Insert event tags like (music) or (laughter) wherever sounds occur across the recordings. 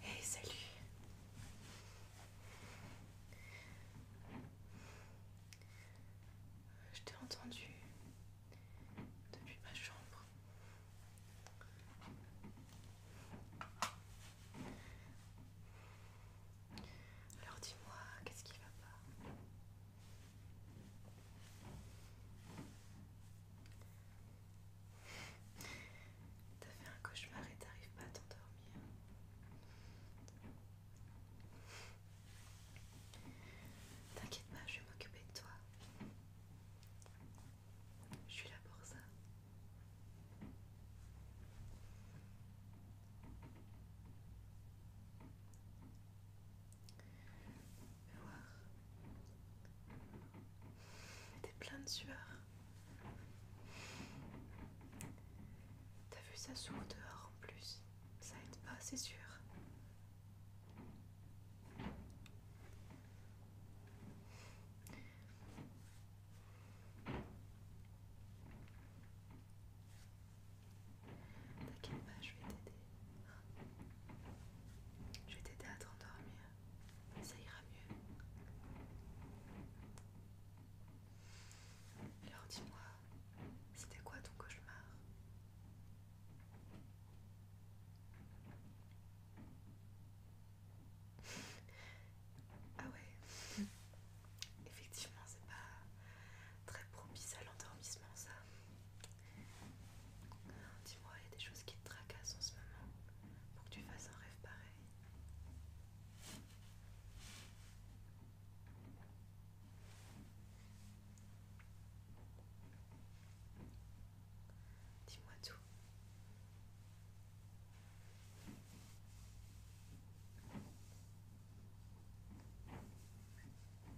Hey, salut. Je t'ai entendu depuis ma chambre. Alors dis-moi, qu'est-ce qui va pas T'as fait un cauchemar et t'arrives pas à t'endormir. T'inquiète pas, je vais m'occuper de toi. Je suis là pour ça. Voir. T'es plein de sueur. T'as vu ça sous dehors en plus. Ça aide pas, c'est sûr. T'inquiète pas, je vais t'aider. Je vais t'aider à t'endormir. Ça ira mieux. Alors dis-moi, c'était quoi ton cauchemar ah ouais, (laughs) effectivement, c'est pas très propice à l'endormissement, ça. Dis-moi, il y a des choses qui te tracassent en ce moment pour que tu fasses un rêve pareil. Dis-moi tout.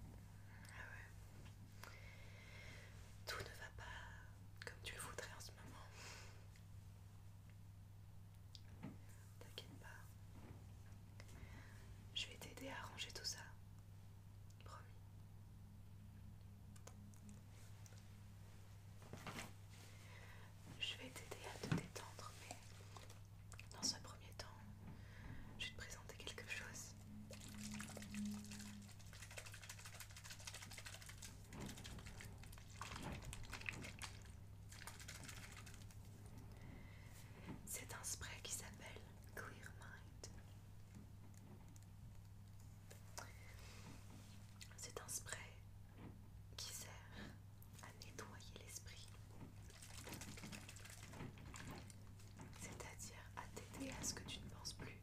Ah tout ne va pas comme tu le voudrais en ce moment. T'inquiète pas. Je vais t'aider à arranger tout ça. Promis. Je vais t'aider à te détendre, mais dans un premier temps, je vais te présenter quelque chose. C'est un spray qui s'appelle Clear Mind. C'est un spray qui sert à nettoyer l'esprit, c'est-à-dire à t'aider à ce que tu ne penses plus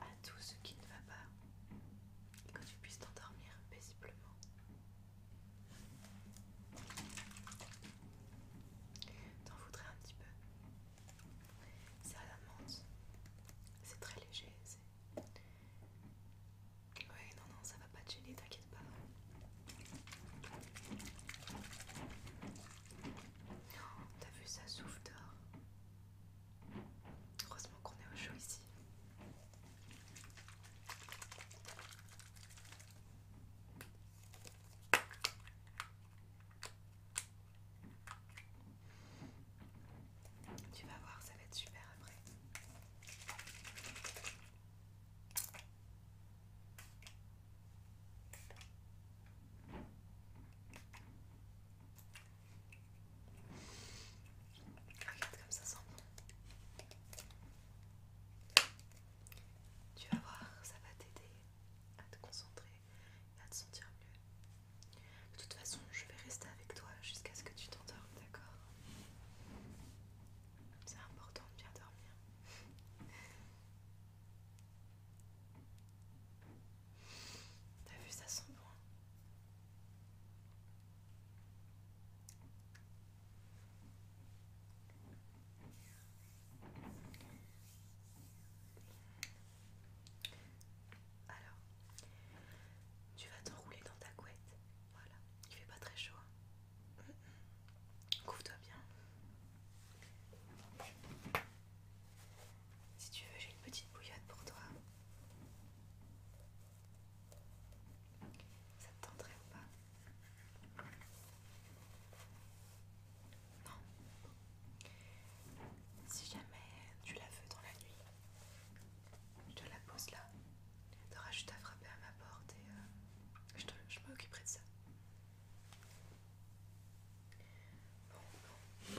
à tout ce qui ne va pas et que tu puisses t'endormir paisiblement. T'en voudrais un petit peu c'est à la menthe. C'est très léger. Oui, non, non, ça va pas te gêner, t'inquiète pas. Oh, t'as vu, ça souffle d'or Heureusement qu'on est au chaud ici. Tu vas voir, ça va être super après. Regarde comme ça sent Tu vas voir, ça va t'aider à te concentrer et à te sentir mieux. De toute façon, je vais rester avec toi jusqu'à ce que tu t'endormes, d'accord C'est important de bien dormir. (laughs) T'as vu, ça sent bon. Alors, tu vas t'enrouler dans ta couette. Voilà, il fait pas très chaud. Hein. Couvre-toi bien. Si tu veux, j'ai une petite bouillotte pour toi. Ça te tenterait ou pas non. Si jamais tu la veux dans la nuit, je te la pose là. T'auras juste à frapper à ma porte et euh, je, m'occuperai de ça. Bon, bon.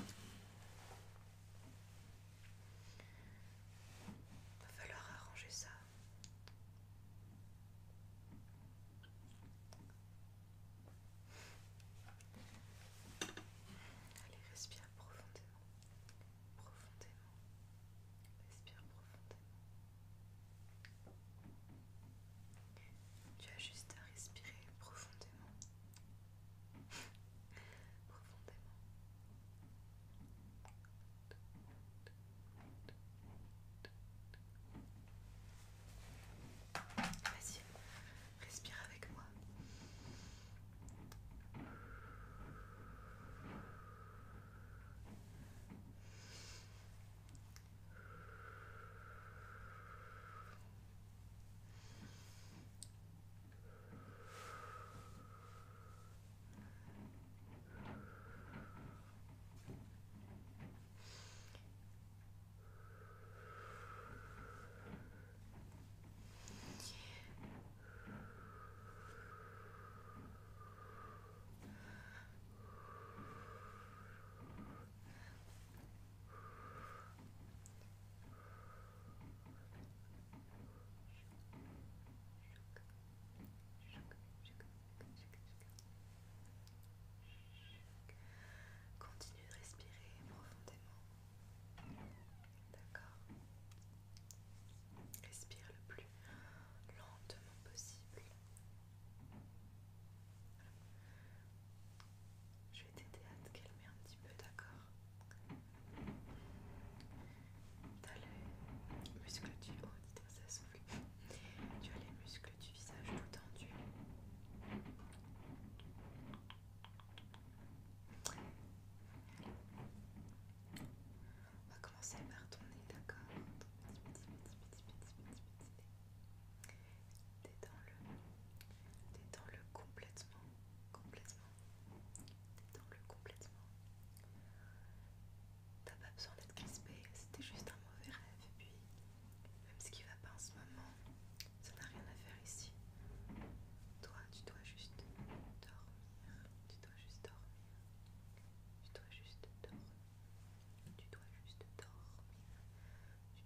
Va falloir arranger ça. Allez, respire profondément. Profondément. Respire profondément. Tu as juste à respirer profondément. profondément. Vas-y, respire avec moi. Continue de respirer profondément. D'accord. Respire le plus lentement possible. Je vais t'aider à te calmer un petit peu, d'accord les muscles du haut, Tu as les muscles du visage tout tendus. On va commencer par ton nez, d'accord Petit, petit, petit, petit, petit, petit, Détends-le. Détends-le complètement. Complètement. Détends-le complètement. T'as pas besoin d'être crispé, c'était juste un mauvais rêve. Et puis, même ce qui va pas en ce moment, ça n'a rien à faire ici. Toi, tu dois juste dormir. Tu dois juste dormir. Tu dois juste dormir. Tu dois juste dormir.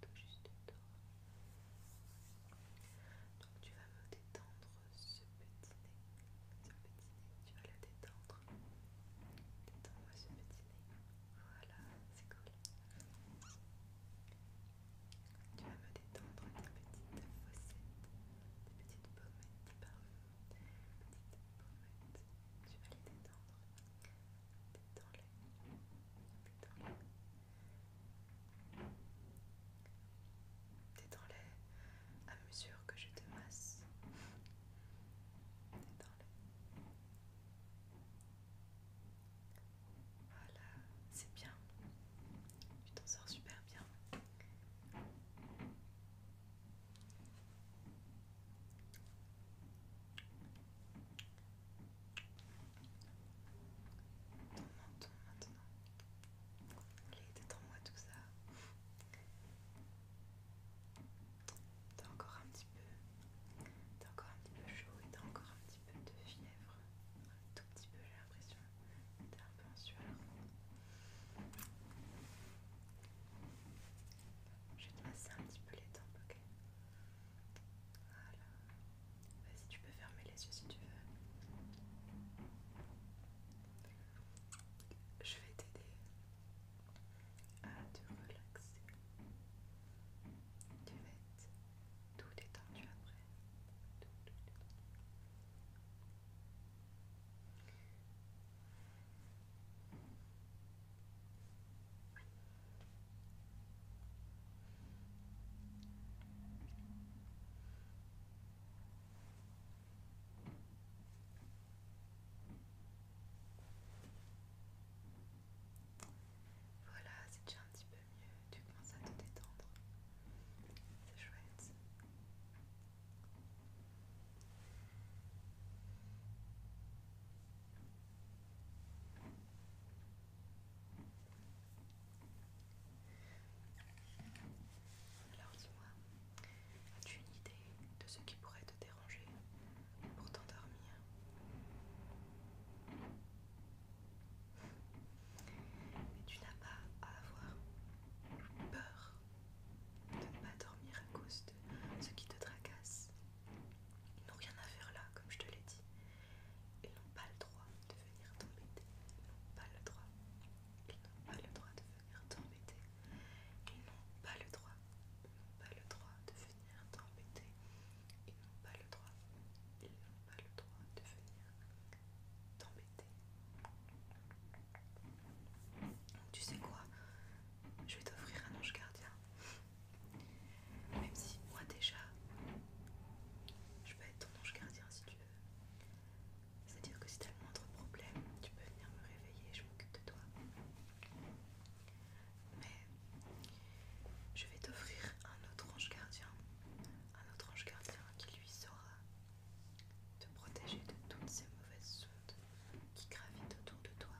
Tu dois juste dormir. Donc tu vas me détendre ce petit nez. Ce petit nez, tu vas le détendre. Détends-moi ce petit nez. Voilà, c'est cool. Tu vas me détendre une petites fossettes, des petites pommettes, des petites pommettes. Tu vas les détendre. Détends-les. Détends-les. Détends-les à mesure que je te masse. Détends-les. Voilà, c'est bien. Tu t'en sors super bien. Ton menton maintenant. laisse t'es moi tout ça. T'as encore un petit peu. T'as encore un petit peu chaud et t'as encore un petit peu de fièvre, un tout petit peu j'ai l'impression d'être un peu en sueur. Je vais te masser un petit peu les tempes, ok Voilà. Vas-y, tu peux fermer les yeux si tu veux. Je vais t'aider à te relaxer. Tu vas tout détendu après. Voilà, c'est déjà un petit peu tu commences à te détendre. C'est chouette. Alors dis-moi, as-tu une idée de ce qui pourrait te déranger pour t'endormir mais tu n'as pas à avoir peur de ne pas dormir à cause de ce qui te tracasse. Ils n'ont rien à faire là, comme je te l'ai dit. Ils n'ont pas le droit de venir t'embêter. Ils n'ont pas le droit. Ils n'ont pas le droit de venir t'embêter. Ils n'ont pas le droit. Ils n'ont pas le droit de venir t'embêter. Ils n'ont pas le droit. Ils pas le droit de venir t'embêter. Tu sais quoi Je vais t'offrir un ange gardien. Même si moi déjà, je peux être ton ange gardien si tu veux. C'est-à-dire que si t'as le moindre problème, tu peux venir me réveiller, je m'occupe de toi. Mais je vais t'offrir un autre ange gardien un autre ange gardien qui lui saura te protéger de toutes ces mauvaises ondes qui gravitent autour de toi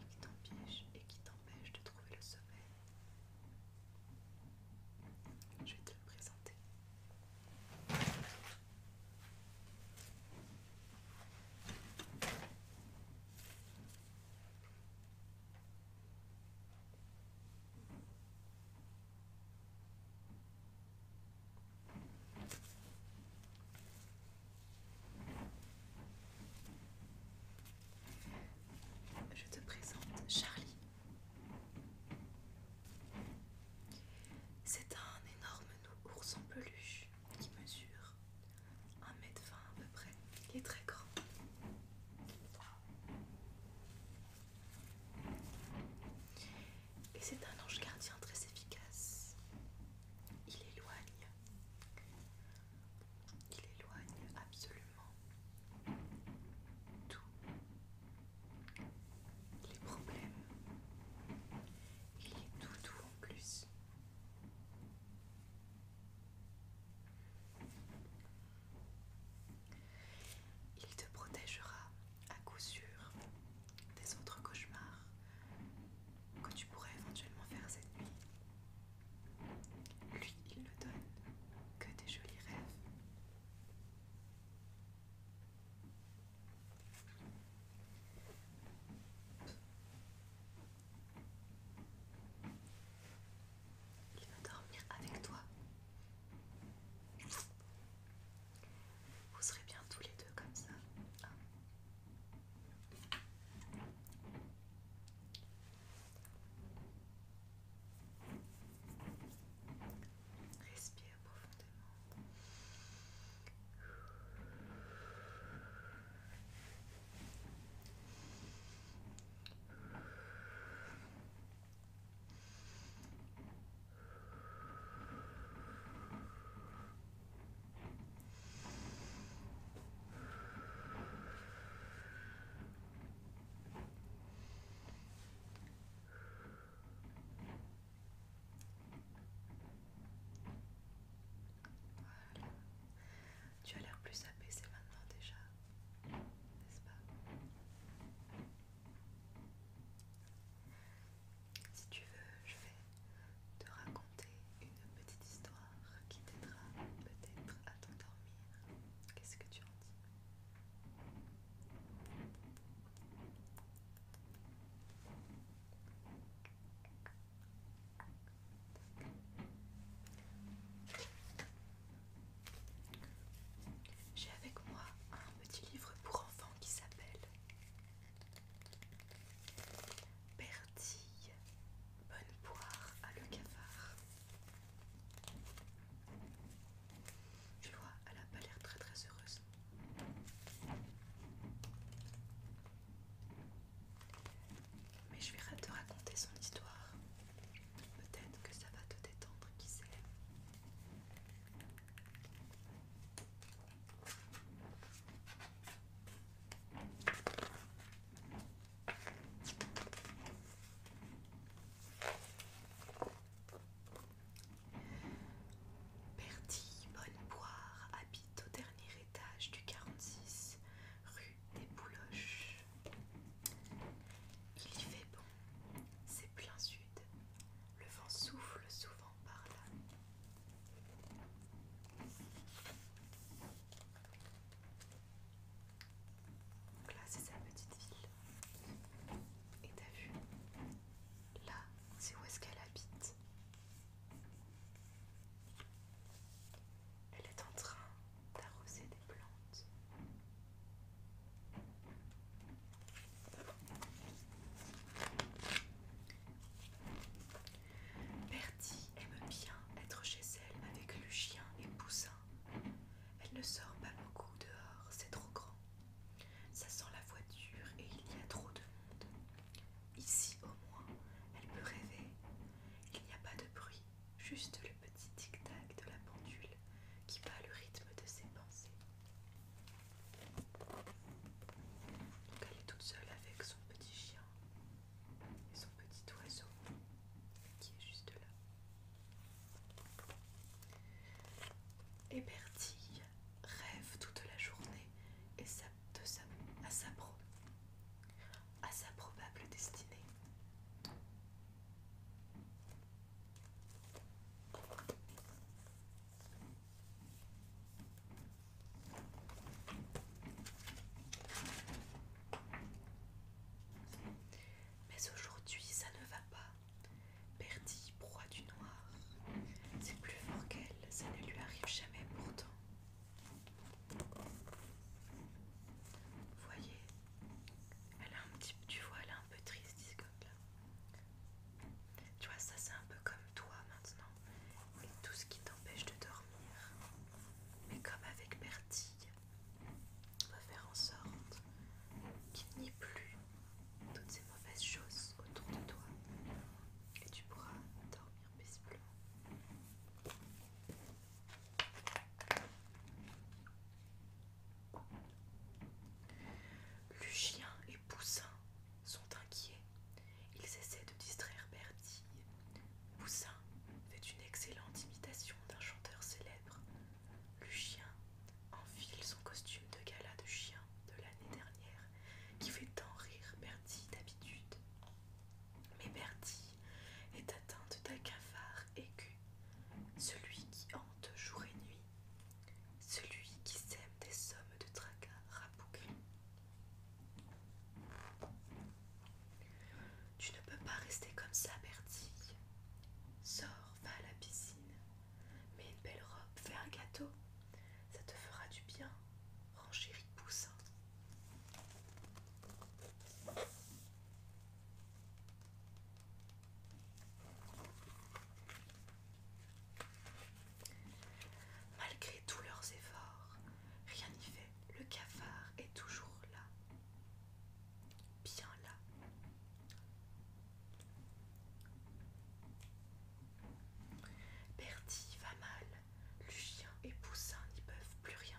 et qui t'empêchent et qui t'empêchent de trouver le sommeil. Je vais te le présenter. Je te présente Charlie. C'est un énorme ours en peluche qui mesure 1m20 à peu près. Il est très grand. Et c'est un ange gardien très efficace. Il éloigne. Il éloigne absolument tout. les problèmes. Il est tout doux en plus. Il te protégera à coup sûr des autres cauchemars que tu pourrais éventuellement faire cette nuit. Lui, il ne donne que des jolis rêves. Il va dormir avec toi. Vous serez bien tous les deux comme ça. Respire profondément. Tu as l'air plus apaisé maintenant déjà, n'est-ce pas si tu veux, je vais te raconter une petite histoire qui t'aidera peut-être à t'endormir. Qu'est-ce que tu en dis j'ai avec moi un petit livre pour enfants qui s'appelle Bertille, bonne poire à le cafard. Tu vois, elle n'a pas l'air très très heureuse. Mais je vais te raconter son histoire. Peut-être que ça va te détendre, qui sait. Bertie boire, habite au dernier étage du 46 rue des Bouloches. Il y fait bon, c'est plein sud. Le vent souffle souvent par là. Donc là, c'est sa petite ville. Et t'as vu Là, c'est où est-ce qu'elle habite. Elle est en train d'arroser des plantes. Bertie aime bien être chez elle avec le chien et Poussin. Elle ne sort pas beaucoup dehors, c'est trop grand. Ça sent la voiture et il y a trop de monde. Ici, au moins, elle peut rêver. Il n'y a pas de bruit, juste le petit tic-tac de la pendule qui bat le rythme de ses pensées elle est toute seule avec son petit chien et son petit oiseau qui est juste là. Et Bertille rêve toute la journée et à sa probable destinée. Mais aujourd'hui, ça ne va pas. Bertie, proie du noir. C'est plus fort qu'elle, ça ne lui arrive jamais pourtant. Voyez, elle a un petit, tu vois, elle est un peu triste tu vois, ça c'est un peu comme toi maintenant et tout ce qui t'empêche de dormir. Mais comme avec Bertie on va faire en sorte qu'il n'y ait plus toutes ces mauvaises choses autour de toi et tu pourras dormir paisiblement. Lucien et Poussin sont inquiets. Ils essaient de distraire Bertie. Poussin fait une excellente imitation d'un chanteur célèbre. Lucien enfile son costume de gala de chien de l'année dernière, qui fait tant rire Bertie d'habitude. Mais Bertie est atteinte d'un cafard aigu, celui qui hante jour et nuit celui qui sème des sommes de tracas rabougris. Tu ne peux pas rester comme ça, Bertie. Sors, va à la piscine, mets une belle robe, fais un gâteau, ça te fera du bien, de Poussin. Malgré tous leurs efforts, rien n'y fait, le cafard est toujours là. Bien là. Bertie va mal, le chien et Poussin n'y peuvent plus rien.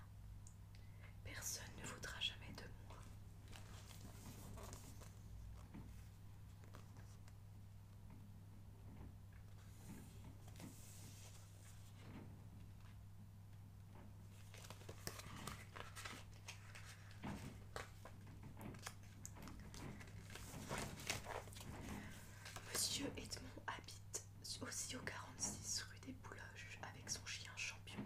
Personne ne voudra jamais de moi. Monsieur Edmond habite aussi au 46 rue des Bouloges avec son chien champion.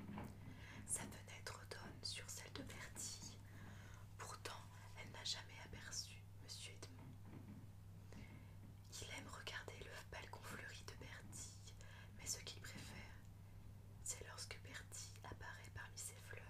Sa fenêtre donne sur celle de Bertie. Pourtant, elle n'a jamais aperçu Monsieur Edmond. Il aime regarder le balcon fleuri de Bertie mais ce qu'il préfère, c'est lorsque Bertie apparaît parmi ses fleurs.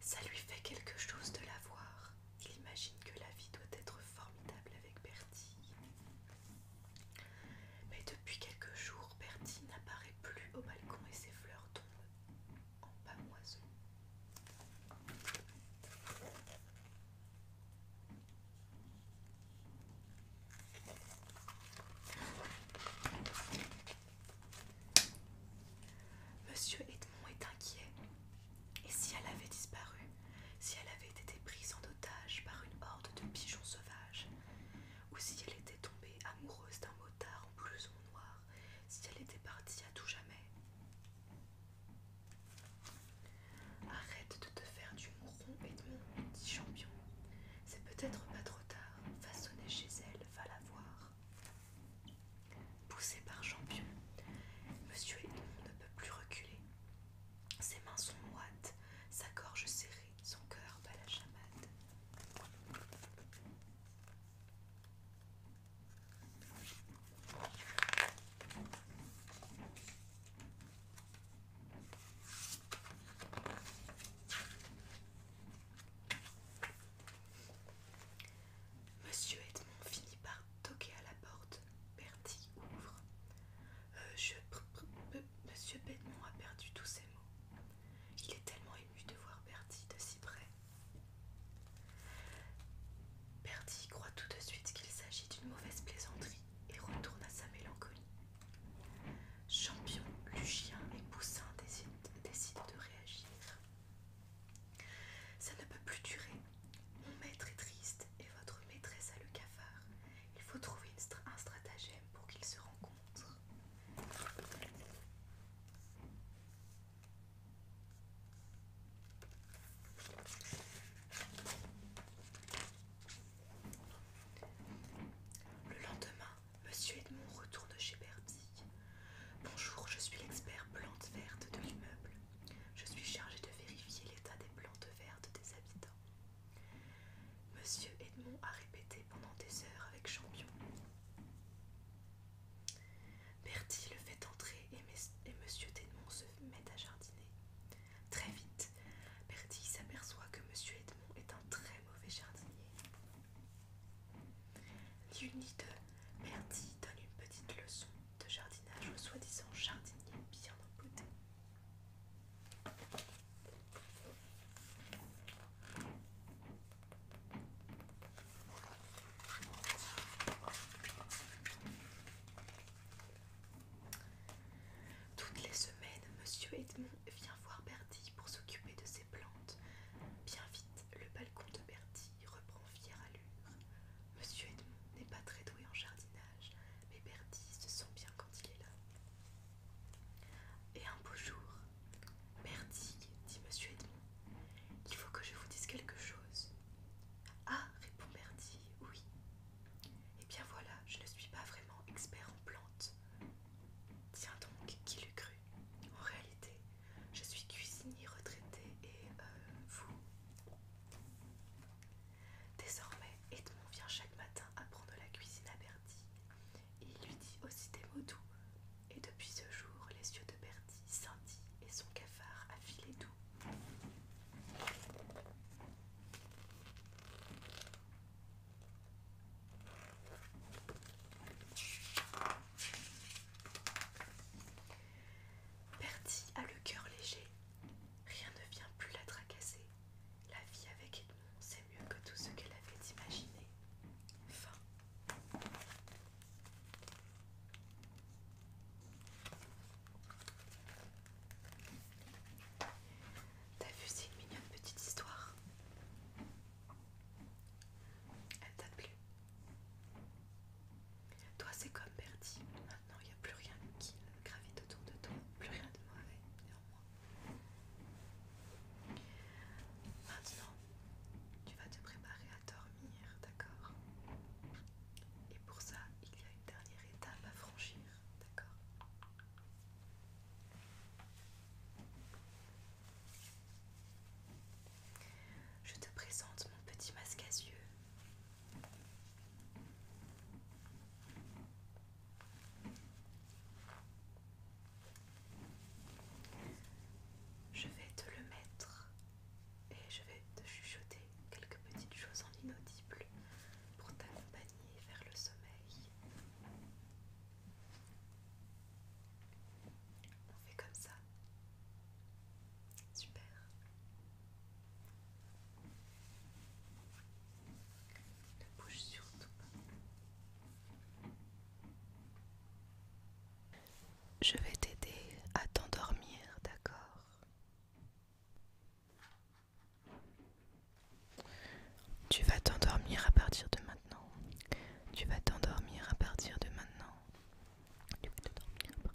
Ça lui fait quelque chose de la voir. Il imagine que la vie doit être formidable avec Bertie. Mais depuis quelques jours, Bertie n'apparaît plus au balcon et ses fleurs tombent en pamoiseau. Monsieur Edmond est inquiet. Et si elle avait disparu, si elle avait été prise en otage par une horde de pigeons sauvages, ou si elle était tombée amoureuse d'un motard en en noir, si elle était partie à tout jamais. Arrête de te faire du mouron, Edmond, dit Champion. C'est peut-être pas trop tard. Façonner chez elle, va la voir. Poussé par Champion, Monsieur Edmond ne peut plus reculer. Ses mains sont moites, sa gorge serrée, son cœur bat la chamade. Monsieur Edmond finit par toquer à la porte. Bertie ouvre. Euh, monsieur Edmond a perdu tous ses mots. Il est tellement ému de voir Bertie de si près. Bertie croit tout de suite qu'il s'agit d'une mauvaise plaisanterie et retourne à sa mélancolie. Champion, Lucien et Poussin décident de réagir. Ça ne peut plus durer. Mon maître est triste et votre maîtresse a le cafard. Il faut trouver un stratagème pour qu'ils se rencontrent. Le lendemain, Monsieur Edmond retourne chez Bertie Bonjour, je suis l'expert plantes vertes de l'immeuble. Je suis chargée de vérifier l'état des plantes vertes des habitants. Monsieur Edmond a répété pendant des heures avec Champion. Bertie le fait entrer et, et Monsieur Edmond se met à jardiner. Très vite, Bertie s'aperçoit que Monsieur Edmond est un très mauvais jardinier. Ni de Bertie donne une petite leçon de jardinage au soi-disant jardinier bien embouté. Toutes les semaines, Monsieur Edmond vient voir Bertie pour s'occuper de ses plantes. Bien vite, le balcon de Bertie reprend fier Monsieur Edmond n'est pas très doué en jardinage, mais Bertie se sent bien quand il est là. Et un beau jour, Bertie, dit monsieur Edmond, il faut que je vous dise quelque chose. Ah, répond Bertie, oui. Eh bien voilà, je ne suis pas vraiment expert en plantes. Tiens donc, qui l'eût cru En réalité, je suis cuisinier retraité et euh, vous. Désormais, Edmond vient chaque matin apprendre la cuisine à Bertie. Il lui dit aussi des mots doux. Et depuis ce jour, les yeux de Bertie scintillent et son cafard a filé doux. Bertie a le cœur léger. Rien ne vient plus la tracasser. La vie avec Edmond, c'est mieux que tout ce qu'elle avait imaginé. Fin. T'as vu, c'est une mignonne petite histoire. Elle t'a plu toi, c'est comme perdu. Maintenant, il n'y a plus rien qui gravite autour de toi, plus rien de mauvais, néanmoins. Maintenant, tu vas te préparer à dormir, d'accord Et pour ça, il y a une dernière étape à franchir, d'accord je te présente mon petit masque à yeux je vais te le mettre et je vais te chuchoter quelques petites choses en inaudible pour t'accompagner vers le sommeil. On fait comme ça. Super. Ne bouge surtout Je vais t'aider à t'endormir, d'accord Tu vas t'endormir à partir de maintenant. Tu vas t'endormir à partir de maintenant. Tu vas t'endormir à partir de maintenant.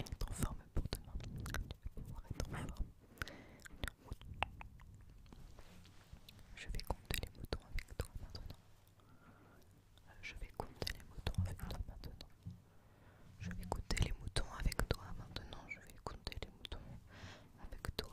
Être en forme pour demain. Euh, je vais compter les moutons avec toi maintenant. Je vais compter les moutons avec toi maintenant. Je vais compter les moutons avec toi maintenant. Je vais compter les moutons avec toi.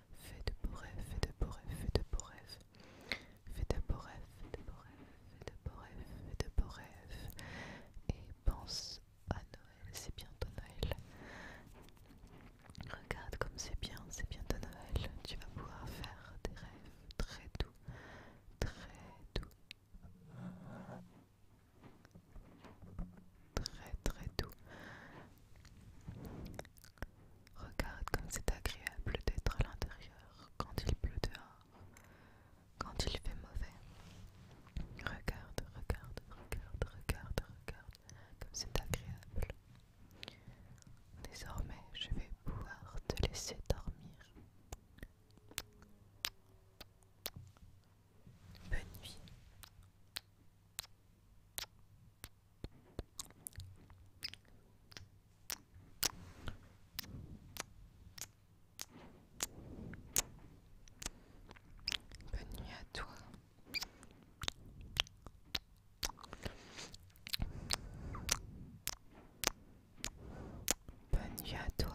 Fais de beaux rêves, fais de beaux rêves, fais de beaux rêves. Fais de beaux rêves, fais de beaux rêves, fais de beaux rêves, fais de beaux rêves. Et pense à Noël, c'est bientôt Noël. Regarde comme c'est bien, c'est bientôt Noël. Tu vas pouvoir faire des rêves très doux, très doux. Très très doux. Regarde comme c'est agréable d'être à l'intérieur quand il pleut dehors, quand il fait mauvais. Regarde, regarde, regarde, regarde, regarde, comme c'est agréable. Désormais, je vais pouvoir te laisser dormir. Bonne nuit. Bonne nuit à toi. Bonne nuit à toi. Bonne nuit à toi.